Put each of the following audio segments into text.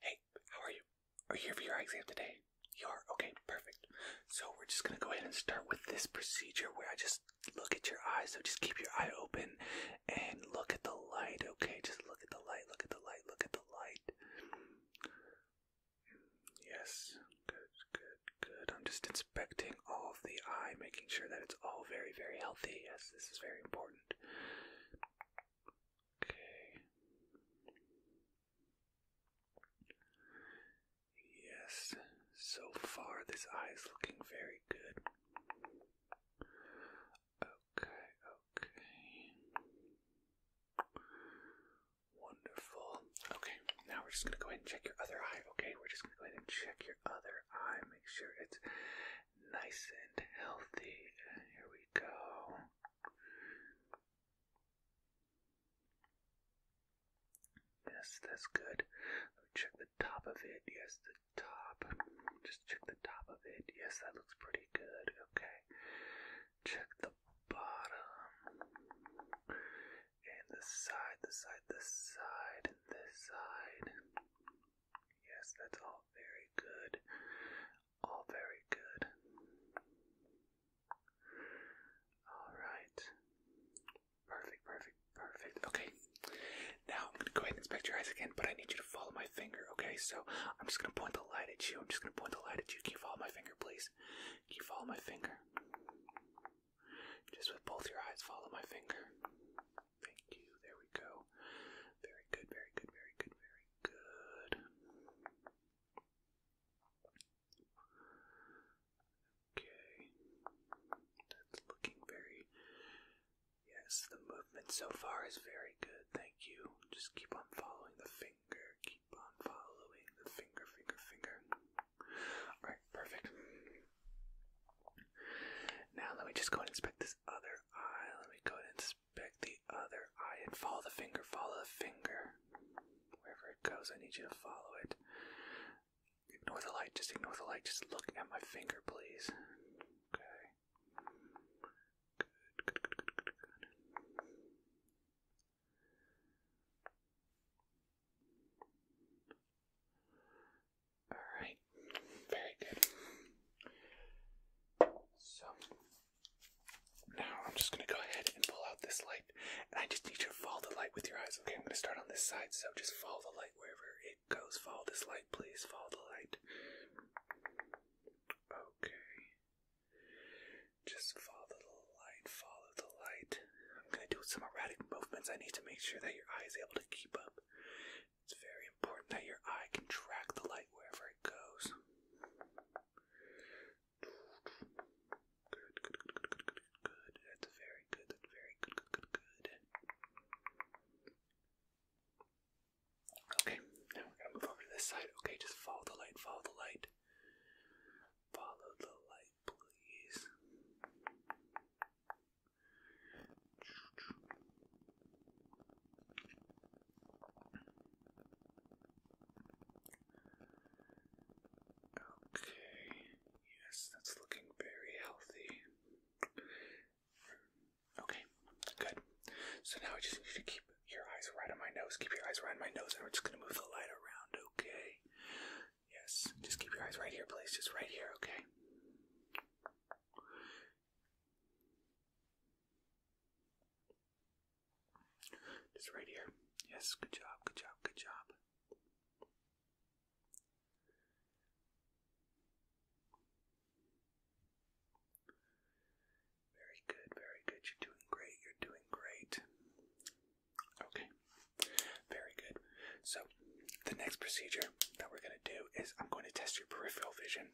Hey, how are you? Are you here for your exam today? You are? Okay, perfect. So we're just gonna go ahead and start with this procedure where I just look at your eye. So just keep your eye open and look at the light, okay? Just look at the light, look at the light, look at the light. Yes, good, good, good. I'm just inspecting all of the eye, making sure that it's all very, very healthy. Yes, this is very important. Okay. Yes, so far this eye is looking very good. Okay, okay. Wonderful. Okay, now we're just gonna go ahead and check your other eye. Okay, we're just gonna go ahead and check your other eye. Make sure it's nice and healthy. Here we go. Yes, that's good. Let me check the top of it. Yes, the top. Just check the top of it. Yes, that looks pretty good. Okay. Check the bottom. And the side, the side, the side, this side. Yes, that's all very good. All very good. All right. Perfect, perfect, perfect. Okay. Now I'm going to go ahead and inspect your eyes again, but I need you to follow my finger, okay? So I'm just going to point the light at you. I'm just going to point the light at you. Can you follow my finger, please? Can you follow my finger? Just with both your eyes, follow my finger. Thank you. There we go. Very good, very good, very good, very good. Okay. That's looking very. Yes, the movement so far is very good. Thank you. Just keep on following the finger. Keep on following the finger, finger, finger. Alright, perfect. Now let me just go and inspect this other eye. Let me go and inspect the other eye and follow the finger, follow the finger. Wherever it goes, I need you to follow it. Ignore the light, just ignore the light, just look at my finger, please. Okay. Good, good, good, good, good, good. Alright, very good. So, now I'm just going to go ahead and pull out this light. And I just need you to follow the light with your eyes. Okay, I'm going to start on this side, so just follow the light wherever it goes. Follow this light, please. Follow the light. Okay. Just follow the light, follow the light. I'm going to do some erratic movements. I need to make sure that your eye is able to keep up. It's very important that your eye can track the light wherever it goes. Good, good, good, good, good, good, That's very good. That's very good, good, good, good. Okay, now we're going to move over to this side. Okay, just follow the light, follow the light. Follow the light please. Okay, yes, that's looking very healthy. Okay, good. So now I just need to keep your eyes right on my nose. Keep your eyes right on my nose, and we're just gonna move the light around, okay? Yes. Just keep your eyes right here, please. Just right here, okay? Just right here. Yes, good job, good job, good job. Very good, very good. You're doing great, you're doing great. Okay, very good. So, the next procedure that we're going to do is I'm going to test your peripheral vision.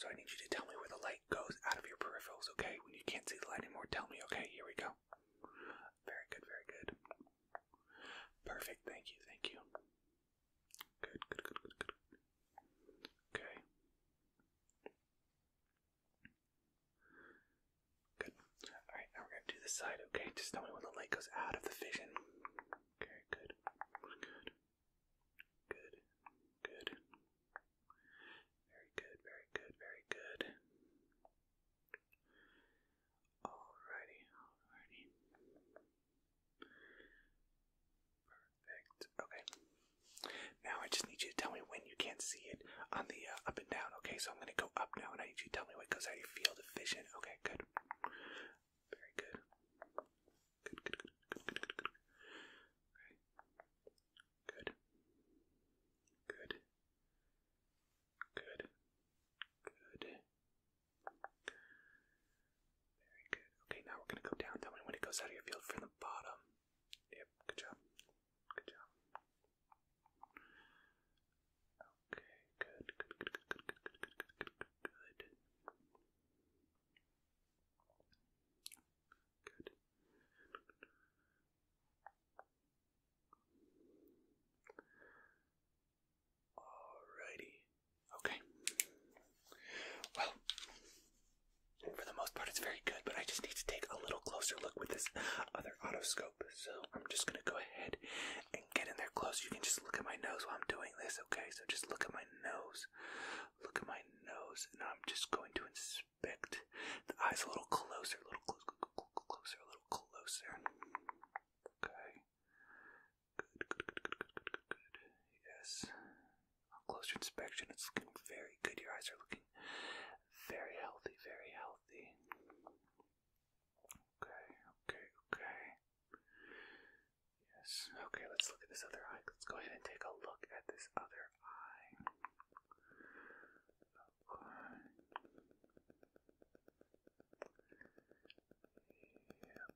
So, I need you to tell me where the light goes out of your peripherals, okay? When you can't see the light anymore, tell me, okay? Here we go. Very good, very good. Perfect, thank you, thank you. Good, good, good, good, good. Okay. Good. Alright, now we're going to do this side, okay? Just tell me when the light goes out of the vision. Okay, good. Good. Good. Good. Very good, very good, very good. Alrighty, alrighty. Perfect. Okay. Now I just need you to tell me when you can't see it on the uh, up and down. Okay, so I'm gonna go up now, and I need you to tell me what goes out of your field of vision. Okay, good. Very good. Good, good, good, good, good, good, good. Okay. Good. Good. Good. Good. Very good. Okay, now we're gonna go down. Tell me when it goes out of your field from the bottom. Yep, good job. Good job. Okay, good, good, good, good, good, good, good, good, good, good, good. Good. Alrighty. Okay. Well, and for the most part, it's very good, but I just need to take a little closer look with this other autoscope. So I'm just going to go ahead and get in there close. You can just look at my nose while I'm doing this, okay? So just look at my nose. Look at my nose, and I'm just going to inspect the eyes a little closer, a little closer, closer, a little closer. Okay. Good, good, good, good, good, good, good. Yes. On closer inspection, it's looking very good. Your eyes are looking very healthy, very healthy. Okay, okay, okay. Yes, okay, let's look at this other eye. Let's go ahead and take a look at this other eye. Okay. Yep.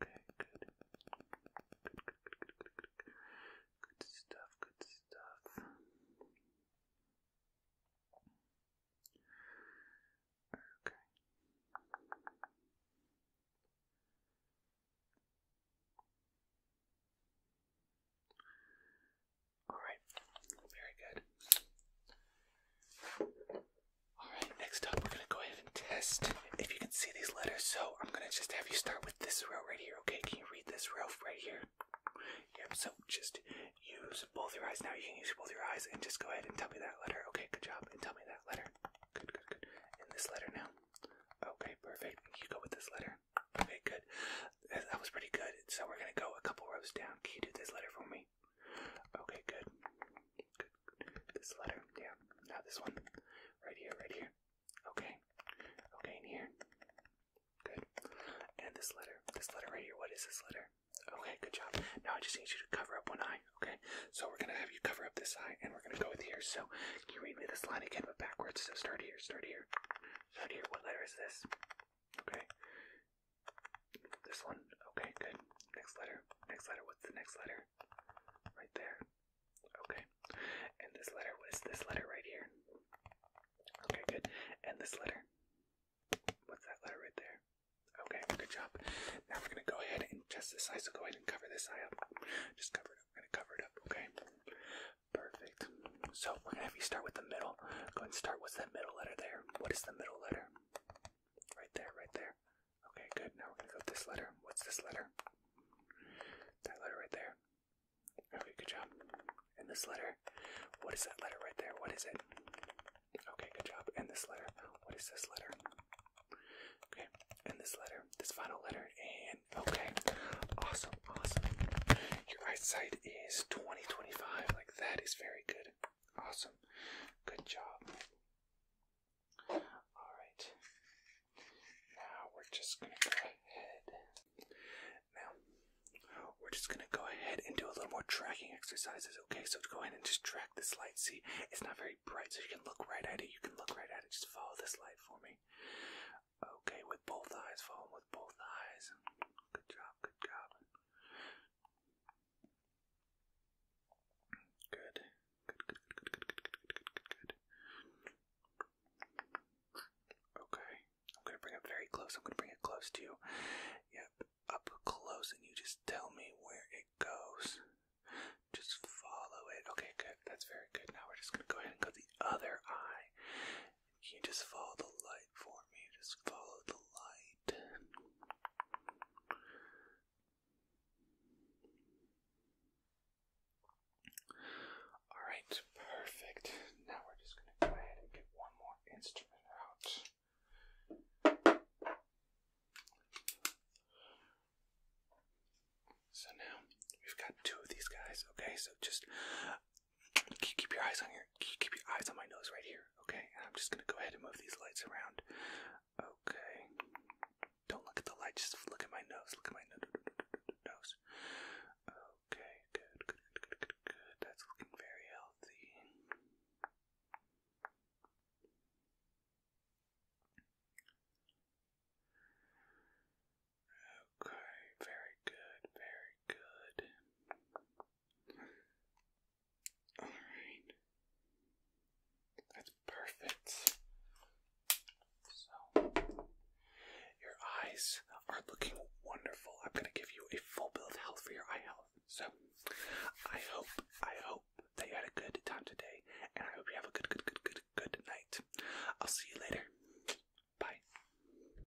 Okay, good. Good stuff, good stuff. Okay. All right, very good. All right, next up, we're going to go ahead test if you can see these letters. So I'm gonna just have you start with this row right here. Okay, can you read this row right here? Yep. So just use both your eyes now. You can use both your eyes and just go ahead and tell me that letter. Okay, good job. And tell me that letter. Good, good, good. And this letter now. Okay, perfect. You go with this letter. Okay, good. That was pretty good. So we're gonna go a couple rows down. Can you do this letter for me? Okay, good. This letter, yeah. Now this one. Right here, right here. Okay. Okay, in here. Good. And this letter. This letter right here. What is this letter? Okay, good job. Now I just need you to cover up one eye, okay? So we're gonna have you cover up this eye and we're gonna go with here. So you read me this line again but backwards? So start here, start here. Start here. What letter is this? Okay. This one. Okay, good. Next letter. Next letter. What's the next letter? letter right there. Okay. And this letter, what is this letter right here? Okay, good. And this letter. What's that letter right there? Okay, good job. Now we're gonna go ahead and just this eye, so go ahead and cover this eye up. Just cover it up. We're gonna cover it up, okay? Perfect. So we're gonna have you start with the middle. Go ahead and start what's that middle letter there? What is the middle letter? Right there, right there. Okay, good. Now we're going to go with this letter. What's this letter? That letter right there. Okay, good job. And this letter. What is that letter right there? What is it? Okay, good job. And this letter. What is this letter? Okay, and this letter. This final letter. And okay. Awesome, awesome. Your eyesight is 2025. Like that is very good. Awesome. Good job. Alright. Now we're just gonna go ahead. Now we're just gonna go ahead and do a little more tracking exercises, okay? So go ahead and just track this light. See, it's not very bright, so you can look right at it. You can look right at it. Just follow this light for me. Okay, with both eyes. Follow with both eyes. Good job, good job. Good. Good, good, good, good, good, good, good, good, good, Okay. I'm gonna bring it very close. I'm gonna bring it close to you. Yep. Up close and you just tell me where it goes. Just follow it. Okay, good. That's very good. Now we're just gonna go ahead and go the other eye. you just follow the light for me? Just follow the light. All right, perfect. Now we're just going to go ahead and get one more instrument out. So now we've got two of these guys, okay? So just keep your eyes on your? keep your eyes on my nose right here? Okay, I'm just gonna go ahead and move these lights around. Okay. Don't look at the light. Just look at my nose. Look at my nose. Okay. Good. Good. Good. Good. good. That's looking very healthy. Okay, very good, very good. Alright. That's perfect. So, your eyes are looking wonderful. I'm going to give you a full build of health for your eye health. So, I hope, I hope that you had a good time today, and I hope you have a good, good, good, good, good night. I'll see you later. Bye.